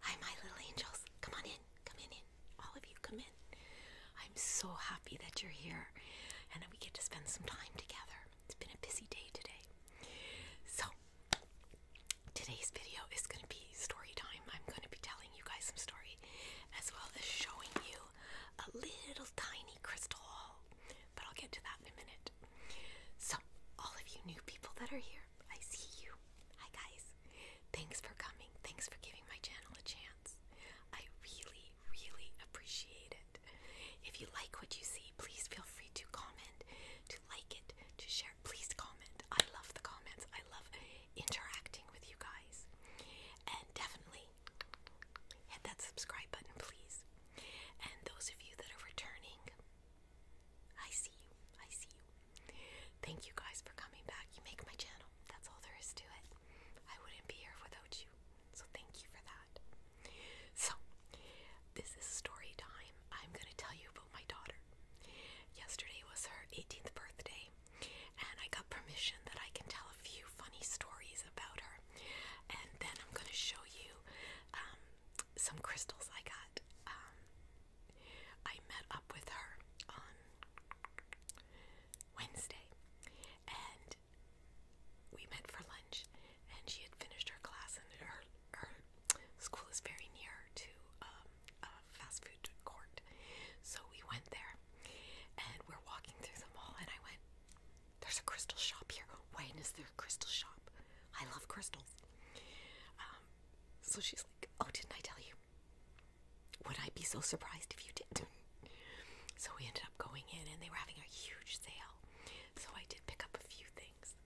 Hi, my little angels. Come on in. Come in, in. All of you, come in. I'm so happy that you're here and that we get to spend some time together. It's been a busy day today. So, today's video is going to be story time. I'm going to be telling you guys some story as well as showing you a little tiny crystal haul, but I'll get to that in a minute. So, all of you new people that are here, I see you. Hi, guys. Thanks for coming. Thanks for giving my channel a chance. I really, really appreciate it. If you like what you see, please feel free to comment, to like it, to share. Please comment. I love the comments. I love interacting with you guys. And definitely hit that subscribe button, please. And those of you that are returning, I see you. I see you. Thank you guys for coming back. You make my channel. That's all there is to it. I wouldn't be here without you. So thank you for that. So, this is story time. I'm going to tell you about my daughter. Yesterday was her 18th birthday, and I got permission that I can tell a few funny stories about her. And then I'm going to show you um, some crystals I got. Um, I met up with her on Wednesday and we met for lunch and she had finished her class and her, her school is very near to um, a fast food court. So we went there and we're walking through the mall and I went, there's a crystal shop here. Wait, is there a crystal shop? I love crystals. Um, so she's like, Oh, didn't I tell you? Would I be so surprised if you did? so we ended up going in and they were having a huge sale. So I did pick up a few things,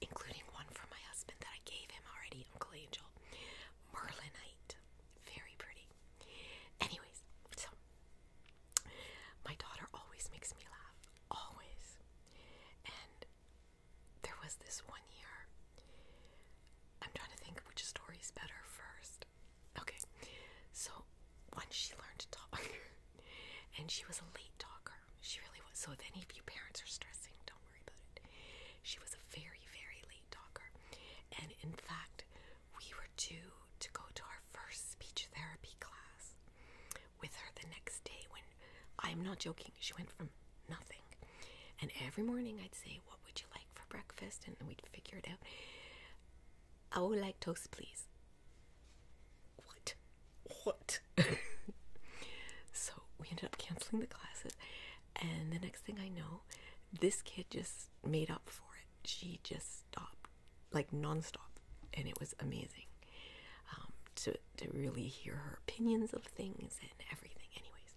including one for my husband that I gave him already, Uncle Angel. Merlinite. Very pretty. Anyways, so my daughter always makes me laugh always. And there was this one year. I'm trying to think which story's better first. Okay, so once she learned to talk, and she was a late talker, she really was. So if any of you parents are stressing, don't worry about it. She was a very, very late talker, and in fact, we were due to go to our first speech therapy class with her the next day when I'm not joking, she went from nothing. And every morning I'd say, What would you like for breakfast? And we'd figure it out. I would like toast, please. What? What? so we ended up canceling the classes. And the next thing I know, this kid just made up for it. She just stopped like nonstop, and it was amazing um, to to really hear her opinions of things and everything. Anyways,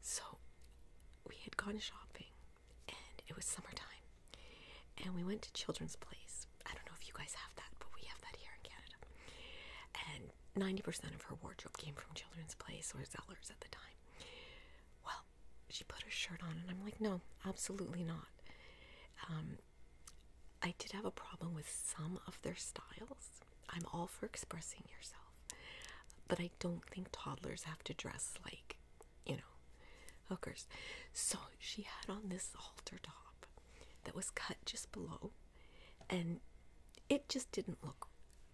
so we had gone shopping, and it was summertime, and we went to Children's Place. I don't know if you guys have that, but we have that here in Canada. And ninety percent of her wardrobe came from Children's Place or Zellers at the time. Well, she put her shirt on, and I'm like, no, absolutely not. Um, I did have a problem with some of their styles. I'm all for expressing yourself. But I don't think toddlers have to dress like, you know, hookers. So she had on this halter top that was cut just below and it just didn't look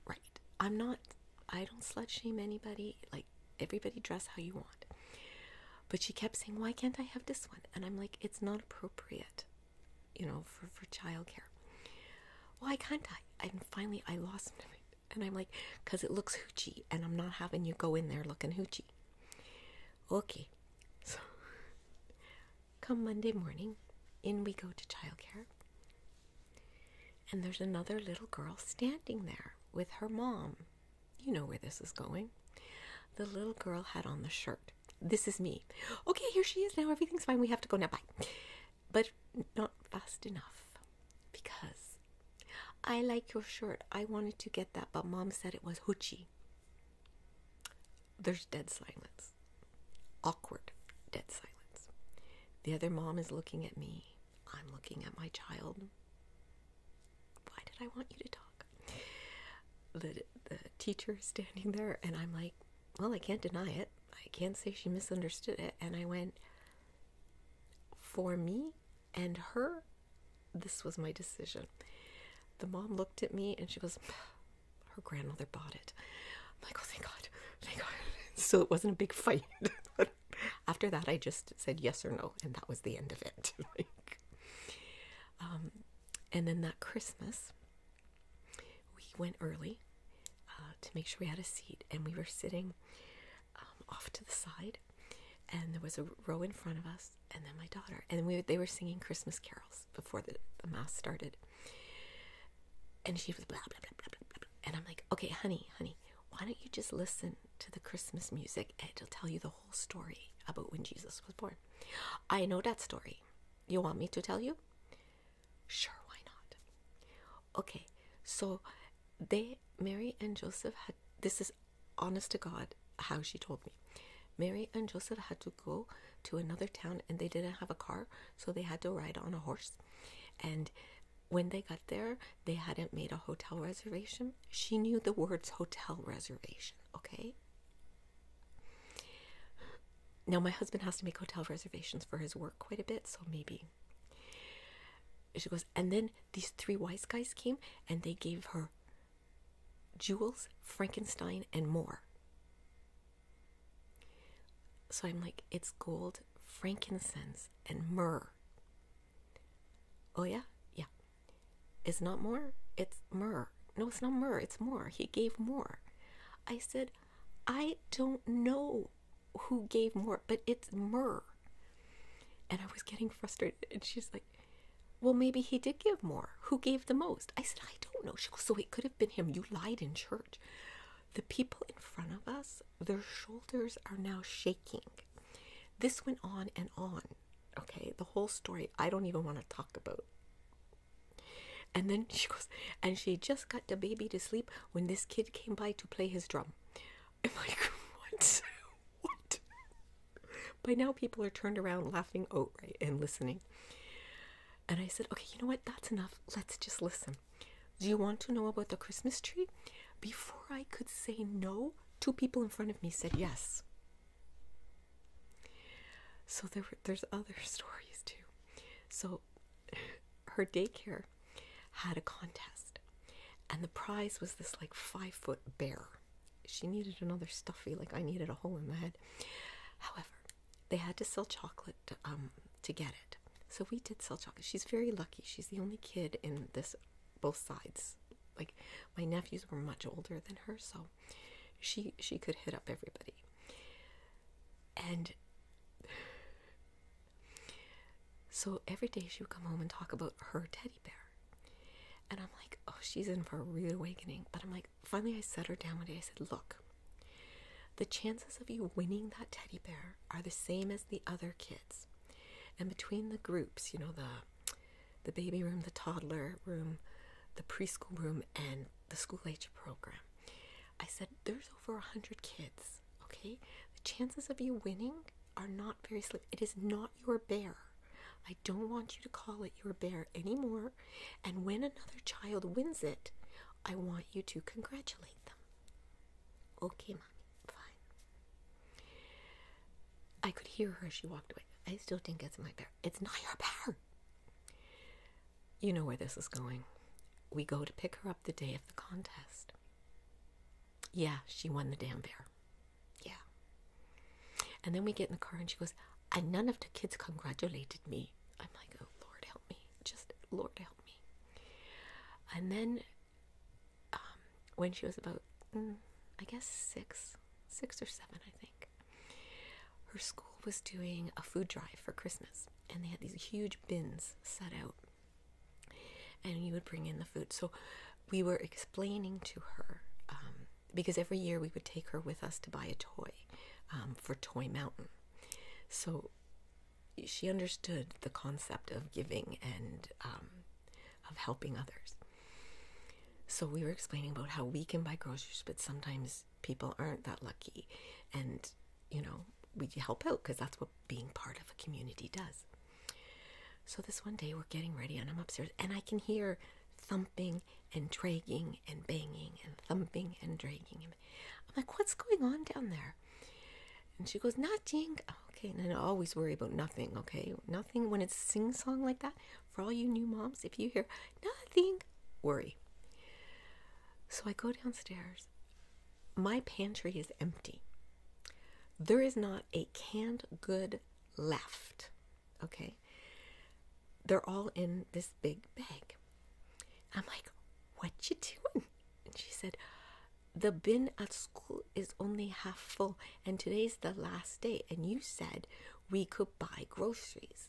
right. I'm not I don't slut shame anybody. Like everybody dress how you want. But she kept saying, Why can't I have this one? And I'm like, It's not appropriate, you know, for, for childcare. Why can't I? And finally, I lost my and I'm like, because it looks hoochie, and I'm not having you go in there looking hoochie. Okay, so come Monday morning, in we go to childcare, and there's another little girl standing there with her mom. You know where this is going. The little girl had on the shirt. This is me. Okay, here she is now. Everything's fine. We have to go now. Bye. But not fast enough because I like your shirt. I wanted to get that, but mom said it was hoochie. There's dead silence. Awkward, dead silence. The other mom is looking at me. I'm looking at my child. Why did I want you to talk? The, the teacher is standing there, and I'm like, Well, I can't deny it. I can't say she misunderstood it. And I went, For me and her, this was my decision. The mom looked at me and she goes, Her grandmother bought it. i oh, thank God. Thank God. So it wasn't a big fight. After that, I just said yes or no, and that was the end of it. um, and then that Christmas, we went early uh, to make sure we had a seat, and we were sitting um, off to the side, and there was a row in front of us, and then my daughter, and we they were singing Christmas carols before the, mass started, and she was blah blah blah blah, blah. and I'm like, okay, honey, honey why don't you just listen to the Christmas music? It'll tell you the whole story about when Jesus was born. I know that story. You want me to tell you? Sure, why not? Okay, so they, Mary and Joseph had, this is honest to God how she told me. Mary and Joseph had to go to another town and they didn't have a car, so they had to ride on a horse. And when they got there, they hadn't made a hotel reservation. She knew the words hotel reservation, okay? Now, my husband has to make hotel reservations for his work quite a bit, so maybe. She goes, and then these three wise guys came and they gave her jewels, Frankenstein, and more. So I'm like, it's gold, frankincense, and myrrh. Oh, yeah? Yeah. It's not more? It's myrrh. No, it's not myrrh. It's more. He gave more. I said, I don't know who gave more, but it's myrrh. And I was getting frustrated. And she's like, Well, maybe he did give more. Who gave the most? I said, I don't know. So it could have been him. You lied in church. The people in front of us, their shoulders are now shaking this went on and on okay the whole story i don't even want to talk about and then she goes and she just got the baby to sleep when this kid came by to play his drum i'm like what what by now people are turned around laughing outright and listening and i said okay you know what that's enough let's just listen do you want to know about the Christmas tree? Before I could say no, two people in front of me said yes. So there were, there's other stories too. So her daycare had a contest, and the prize was this like five foot bear. She needed another stuffy, like I needed a hole in the head. However, they had to sell chocolate um, to get it. So we did sell chocolate. She's very lucky. She's the only kid in this both sides. Like my nephews were much older than her, so she she could hit up everybody. And so every day she would come home and talk about her teddy bear. And I'm like, oh, she's in for a reawakening. But I'm like, finally, I set her down one day. I said, look, the chances of you winning that teddy bear are the same as the other kids. And between the groups, you know, the the baby room, the toddler room, the preschool room, and the school age program, I said there's over a hundred kids. Okay, the chances of you winning are not very slim. It is not your bear. I don't want you to call it your bear anymore. And when another child wins it, I want you to congratulate them. Okay, mommy, fine. I could hear her as she walked away. I still think it's my bear. It's not your bear. You know where this is going. We go to pick her up the day of the contest. Yeah, she won the damn bear. Yeah. And then we get in the car and she goes, and none of the kids congratulated me. I'm like, oh, Lord help me. Just, Lord help and then um, when she was about, mm, I guess, six, six or seven, I think, her school was doing a food drive for Christmas. And they had these huge bins set out. And you would bring in the food. So we were explaining to her, um, because every year we would take her with us to buy a toy um, for Toy Mountain. So she understood the concept of giving and um, of helping others. So we were explaining about how we can buy groceries, but sometimes people aren't that lucky, and you know we help out because that's what being part of a community does. So this one day we're getting ready, and I'm upstairs, and I can hear thumping and dragging and banging and thumping and dragging I'm like, what's going on down there? And she goes, nothing. Oh, okay, and I always worry about nothing, okay? Nothing when it's sing song like that. For all you new moms, if you hear nothing, worry. So I go downstairs. My pantry is empty. There is not a canned good left, okay? They're all in this big bag. I'm like, what you doing? And she said, the bin at school is only half full, and today's the last day, and you said we could buy groceries.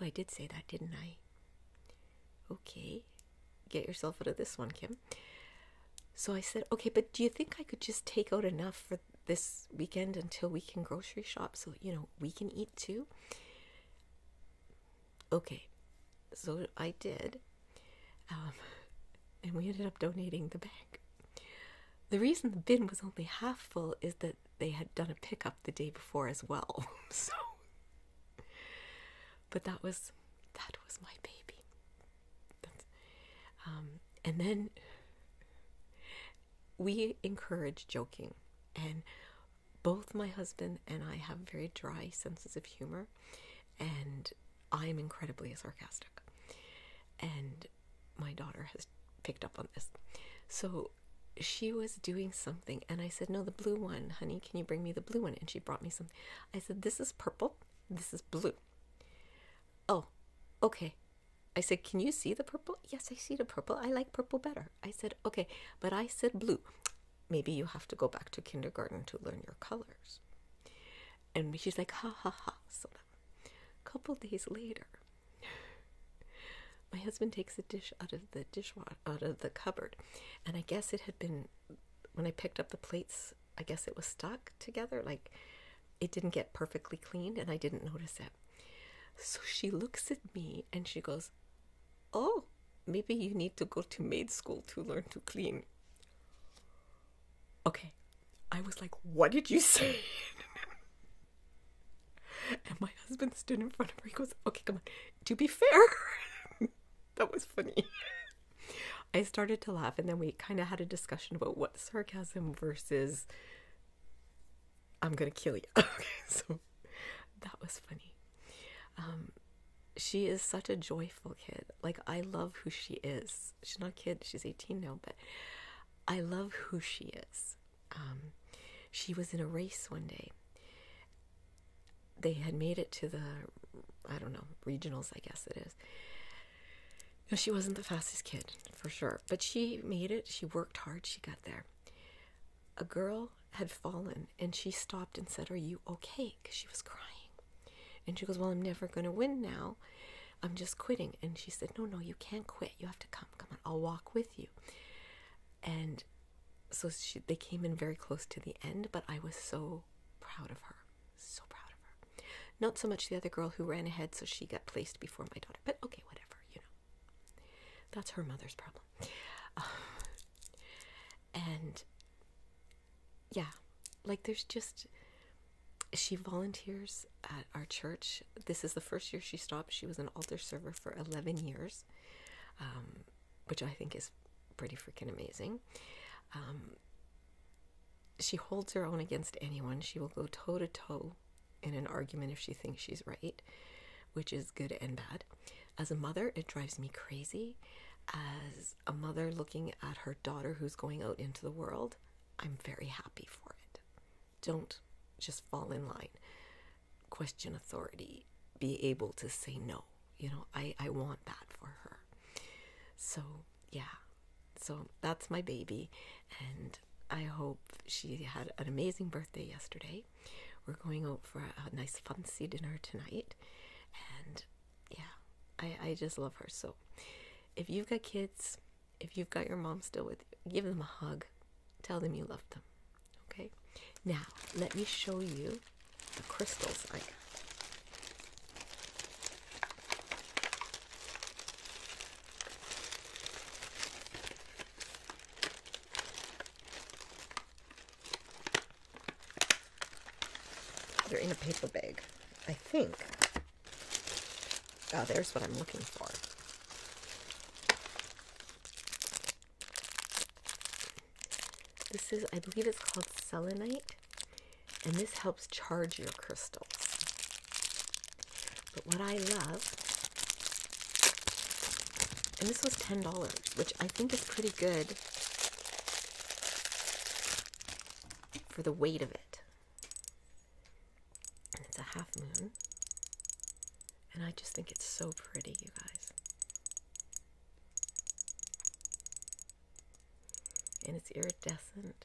Oh, I did say that, didn't I? Okay, get yourself out of this one, Kim. So I said, okay, but do you think I could just take out enough for this weekend until we can grocery shop so, you know, we can eat too? Okay, so I did, um, and we ended up donating the bag. The reason the bin was only half full is that they had done a pickup the day before as well. so, but that was that was my baby. Um, and then we encourage joking, and both my husband and I have very dry senses of humor, and I am incredibly sarcastic. And my daughter has picked up on this. So she was doing something, and I said, No, the blue one, honey, can you bring me the blue one? And she brought me some. I said, This is purple, this is blue. Oh, okay. I said, Can you see the purple? Yes, I see the purple. I like purple better. I said, okay, but I said blue. Maybe you have to go back to kindergarten to learn your colors. And she's like, ha ha ha. So a couple days later, my husband takes a dish out of the dishwasher, out of the cupboard, and I guess it had been when I picked up the plates. I guess it was stuck together, like it didn't get perfectly cleaned, and I didn't notice it. So she looks at me and she goes, oh, maybe you need to go to maid school to learn to clean. Okay. I was like, what did you say? and my husband stood in front of me He goes, okay, come on. To be fair, that was funny. I started to laugh, and then we kind of had a discussion about what sarcasm versus I'm gonna kill you. okay, so that was funny. Um, she is such a joyful kid. Like I love who she is. She's not a kid. She's 18 now, but I love who she is. Um, she was in a race one day. They had made it to the, I don't know, regionals. I guess it is. No, she wasn't the fastest kid for sure, but she made it. She worked hard. She got there a girl had fallen and she stopped and said, Are you okay? Because she was crying. And she goes, Well, I'm never going to win now. I'm just quitting. And she said, No, no, you can't quit. You have to come. Come on, I'll walk with you. And so they came in very close to the end, but I was so proud of her. So proud of her. Not so much the other girl who ran ahead, so she got placed before my daughter, but okay, whatever, you know. That's her mother's problem. Uh, and yeah, like there's just she volunteers at our church. This is the first year she stopped. She was an altar server for 11 years, um, which I think is pretty freaking amazing. Um, she holds her own against anyone. She will go toe to toe in an argument if she thinks she's right, which is good and bad. As a mother, it drives me crazy. As a mother looking at her daughter who's going out into the world, I'm very happy for it. Don't just fall in line, question authority, be able to say no. You know, I, I want that for her. So, yeah. So that's my baby, and I hope she had an amazing birthday yesterday. We're going out for a, nice fancy dinner tonight, and yeah, I, I just love her. So, if you've got kids, if you've got your mom still with you, give them a hug, tell them you love them. Okay, now let me show you the crystals they're in a paper bag, I think. Oh, there's what I'm looking for. This is, I believe it's called selenite, and this helps charge your crystals. But what I love, and this was $10, which I think is pretty good for the weight of it. And it's a half moon. And I just think it's so pretty, you guys. And it's iridescent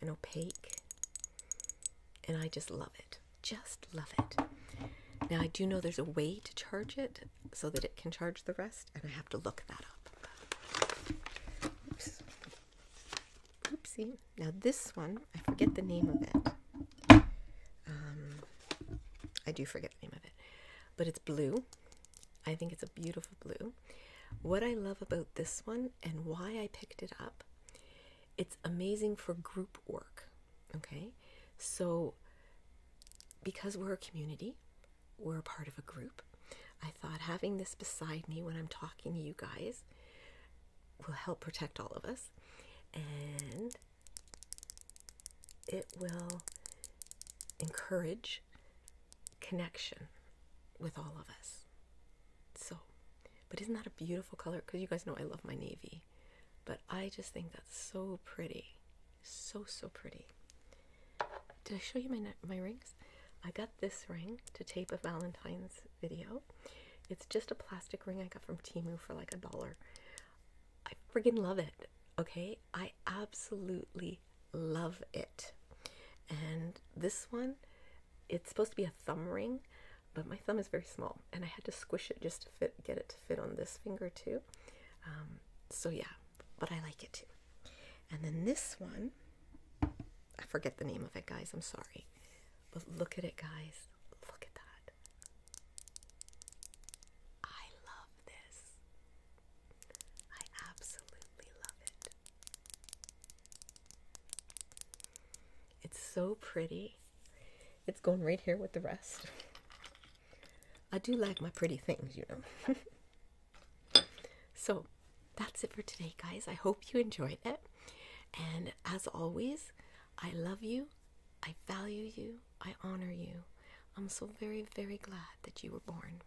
and opaque and I just love it. Just love it. Now, I do know there's a way to charge it so that it can charge the rest, and I have to look that up. Oopsie. Now, this one, I forget the name of it. Um, I do forget the name of it, but it's blue. I think it's a beautiful blue. What I love about this one and why I picked it up it's amazing for group work. Okay, so because we're a community, we're a part of a group. I thought having this beside me when I'm talking to you guys will help protect all of us, and it will encourage connection with all of us. So, but isn't that a beautiful color? Because you guys know I love my navy, but I just think that's so pretty, so so pretty. Did I show you my my rings? I got this ring to tape a Valentine's video. It's just a plastic ring I got from Timu for like a dollar. I friggin' love it. Okay, I absolutely love it and this one it's supposed to be a thumb ring but my thumb is very small and i had to squish it just to fit get it to fit on this finger too um, so yeah but i like it too and then this one i forget the name of it guys i'm sorry but look at it guys look at that i love this i absolutely love it it's so pretty. It's going right here with the rest. I do like my pretty things, you know. so that's it for today, guys. I hope you enjoyed it. And as always, I love you. I value you. I honor you. I'm so very, very glad that you were born.